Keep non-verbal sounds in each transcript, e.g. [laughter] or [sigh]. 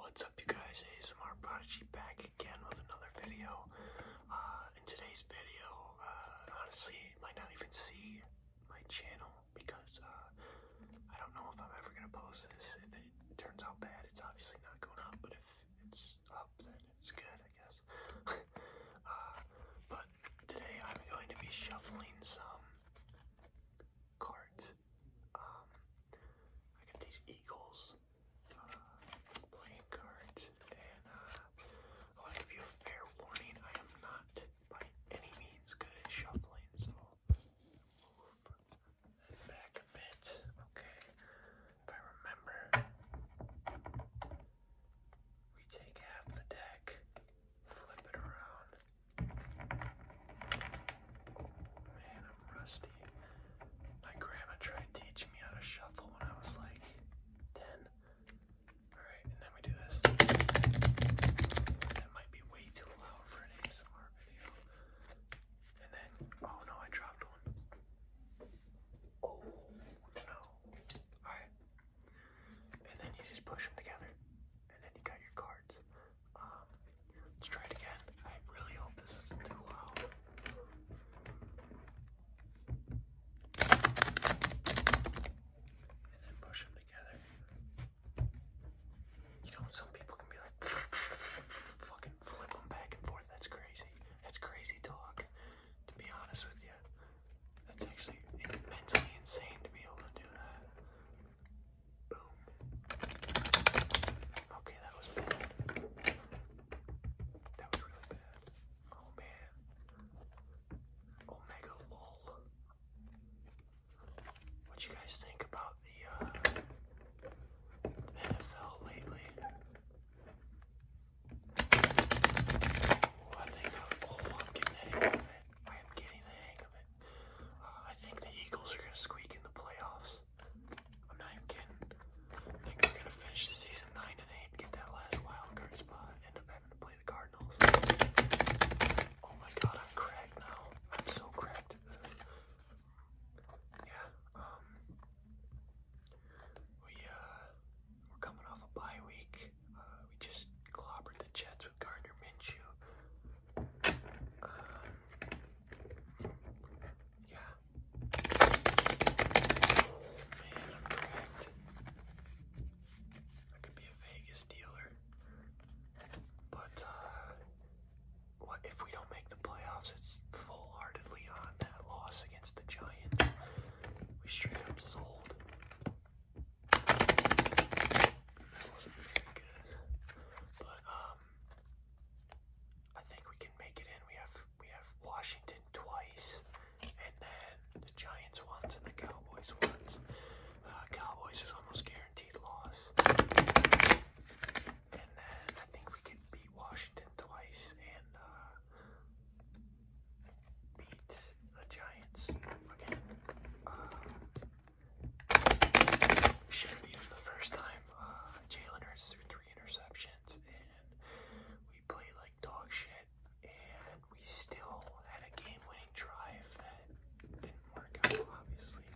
What's up you guys, ASMR Prodigy back again with another video. Uh, in today's video, uh, honestly, might not even see my channel because uh, I don't know if I'm ever going to post this. If it turns out bad, it's obviously not going up, but if it's up, then it's good, I guess. [laughs] Uh, but today I'm going to be shuffling some cards. Um, I got these Eagles uh, playing cards, and I want to give you a fair warning. I am not by any means good at shuffling, so move that back a bit. Okay, if I remember, we take half the deck, flip it around, Man, I'm rusty. My grandma tried teaching me how to shuffle when I was like 10. Alright, and then we do this. That might be way too loud for an ASMR video. And then, oh no, I dropped one. Oh no. Alright. And then you just push them together. And then you got your cards. Um, let's try it again. I really hope this isn't too loud. And then push them together. You know, some people can be like, [laughs] fucking flip them back and forth. That's crazy. That's crazy talk, to be honest with you. That's actually mentally insane to be able to do that. Okay, that was bad. That was really bad. Oh man. Omega lol. What you guys think about the uh, NFL lately? I think I, am getting the hang I am getting the hang of it. Uh, I think the Eagles are gonna squeak in the playoffs. I'm not even kidding. I think we're gonna finish the season nine and eight, get that last wild card spot, end up having to play the Cardinals. Oh my god, I'm cracked now. I'm so cracked. Yeah, um we uh we're coming off a bye week. Uh, we just clobbered the Jets with Gardner Minshew. Um, yeah. Man, I'm cracked. I could be a Vegas dealer. But uh, what if we don't make the playoffs? It's full-heartedly on that loss against the Giants. We straight up sold. That wasn't very good. But um I think we can make it in. We have we have Washington twice and then the Giants once and the Cowboys once. Uh, Cowboys is almost guaranteed loss. And then I think we can beat Washington twice and uh beat the Giants again. Uh, should have beat them the first time. Uh, Jalen Hurts threw three interceptions, and we played like dog shit, and we still had a game-winning drive that didn't work out, obviously.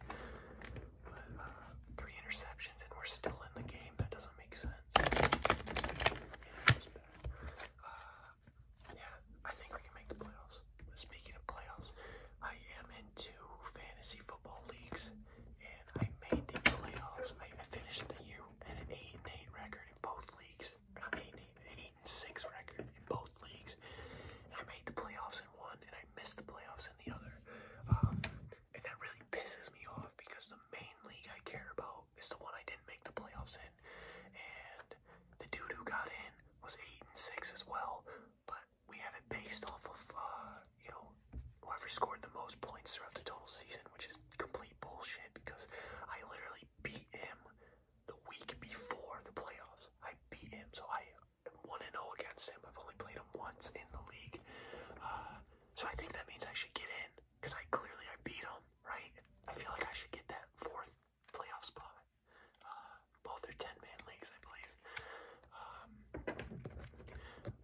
But uh, three interceptions, and we're still in the game. That doesn't make sense. [sighs] yeah, I think we can make the playoffs. Speaking of playoffs, I am into fantasy football leagues, and I made the playoffs. I, finished the year at an eight and eight record in both leagues. an eight and six record in both leagues. I made the playoffs in one, and I missed the playoffs in the other. Um, and that really pisses me off because the main league I care about out is the one I didn't make the playoffs in, and the dude who got in was eight and six as well. But we have it based off of uh, you know whoever scored the most points throughout the total season, which is complete bullshit because I literally beat him the week before the playoffs. I beat him, so I am one and zero oh against him. I've only played him once in the league, uh, so I think that means I should get in because I clearly I beat them, right? I feel like I should get that fourth playoff spot. Uh, both are 10-man leagues, I believe. Um,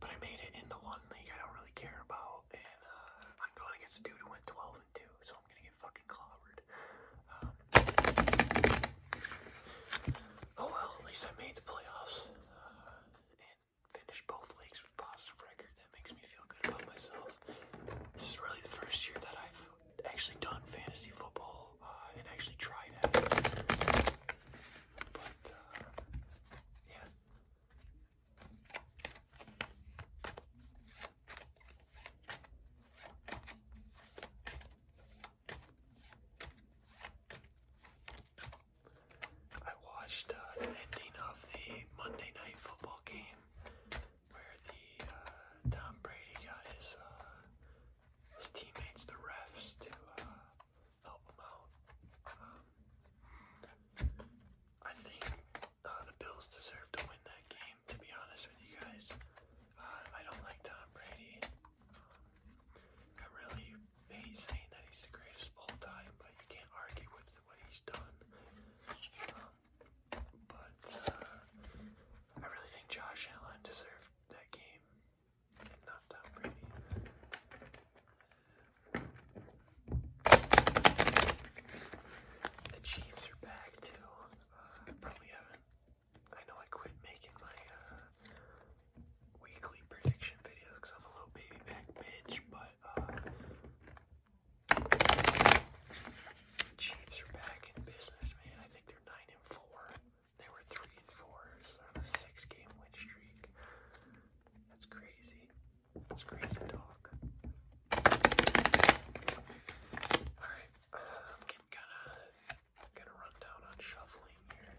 but I made it in the one league I don't really care about, and uh, I'm going against a dude who went 12 and 2, so I'm gonna get fucking clobbered. Um, oh well, at least I made the playoffs. Uh, finish both leagues with positive record. That makes me feel good about myself. This is really the first year that I've actually done fantasy football uh, and actually tried it. But uh, yeah. I watched uh, the ending of the Monday Night Football game where the uh, Tom Brady got his uh, his teammates, the refs, to help him out. Um, I think the Bills deserve to win that game. To be honest with you guys, I don't like Tom Brady. Um, I really he's saying that he's the greatest of all time, but you can't argue with what he's done. Um, but uh, I really think Josh Allen deserved that game not Tom Brady. The Chiefs are back too. Uh, probably haven't. I know I quit making my uh, weekly prediction videos because I'm a little baby back bitch, but uh, Chiefs are back in business, man. I think they're nine and four. They were three and four, on a six-game win streak. That's crazy. That's crazy talk. All right, I'm getting kind of get a rundown on shuffling here.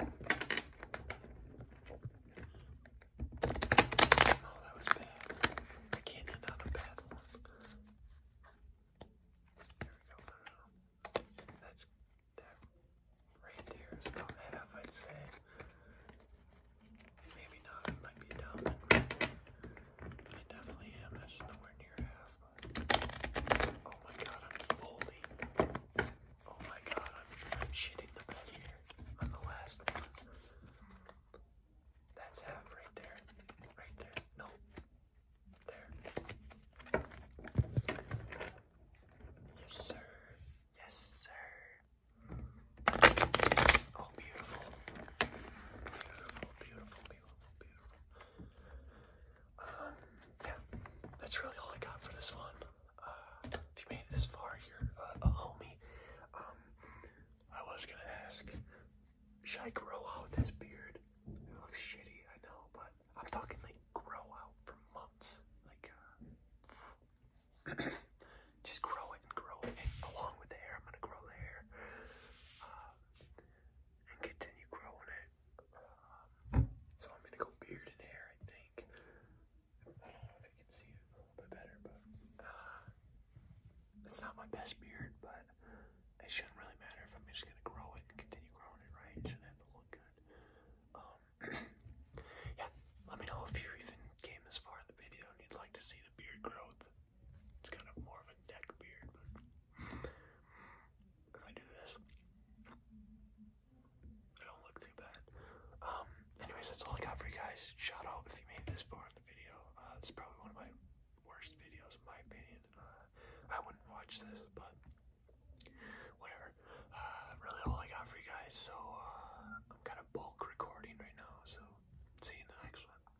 Um, oh, that was bad. I can't end on bad one. There we go. That's that right there is about half, I'd say. Maybe not. might be down. I definitely am. That's nowhere near half. Oh my god, I'm folding. Oh my god, I'm, shitting the bed here on the last one. That's half right there. Right there. No. There. Yes, sir. Yes, sir. Oh, beautiful. Beautiful, beautiful, beautiful, beautiful. Um, yeah, that's really all I got for this one. Uh, if you made it this far, you're a homie. Um, I was gonna ask, should I grow out this beard? It looks shitty, I know, but I'm talking like grow out for months. Like, uh, [clears throat] just grow it and grow it. along with the hair, I'm gonna grow the hair. Uh, and continue growing it. so I'm gonna go beard and hair, I think. I don't know if you can see it a little bit better, but uh, it's not my best beard, but it shouldn't really matter if I'm just gonna grow it and continue growing it, right? should have to look good. Um, [clears throat] yeah, let me know if you even came this far in the video and you'd like to see the beard growth. It's kind of more of a neck beard, if I do this, it don't look too bad. Um, anyways, that's all I got for you guys. Shout out if you made this far in the video. Uh, it's probably one of my worst videos in my opinion. Uh, I wouldn't watch this, but whatever. Uh, really all I got for you guys. So uh, I'm kind of bulk recording right now. So see you in the next one.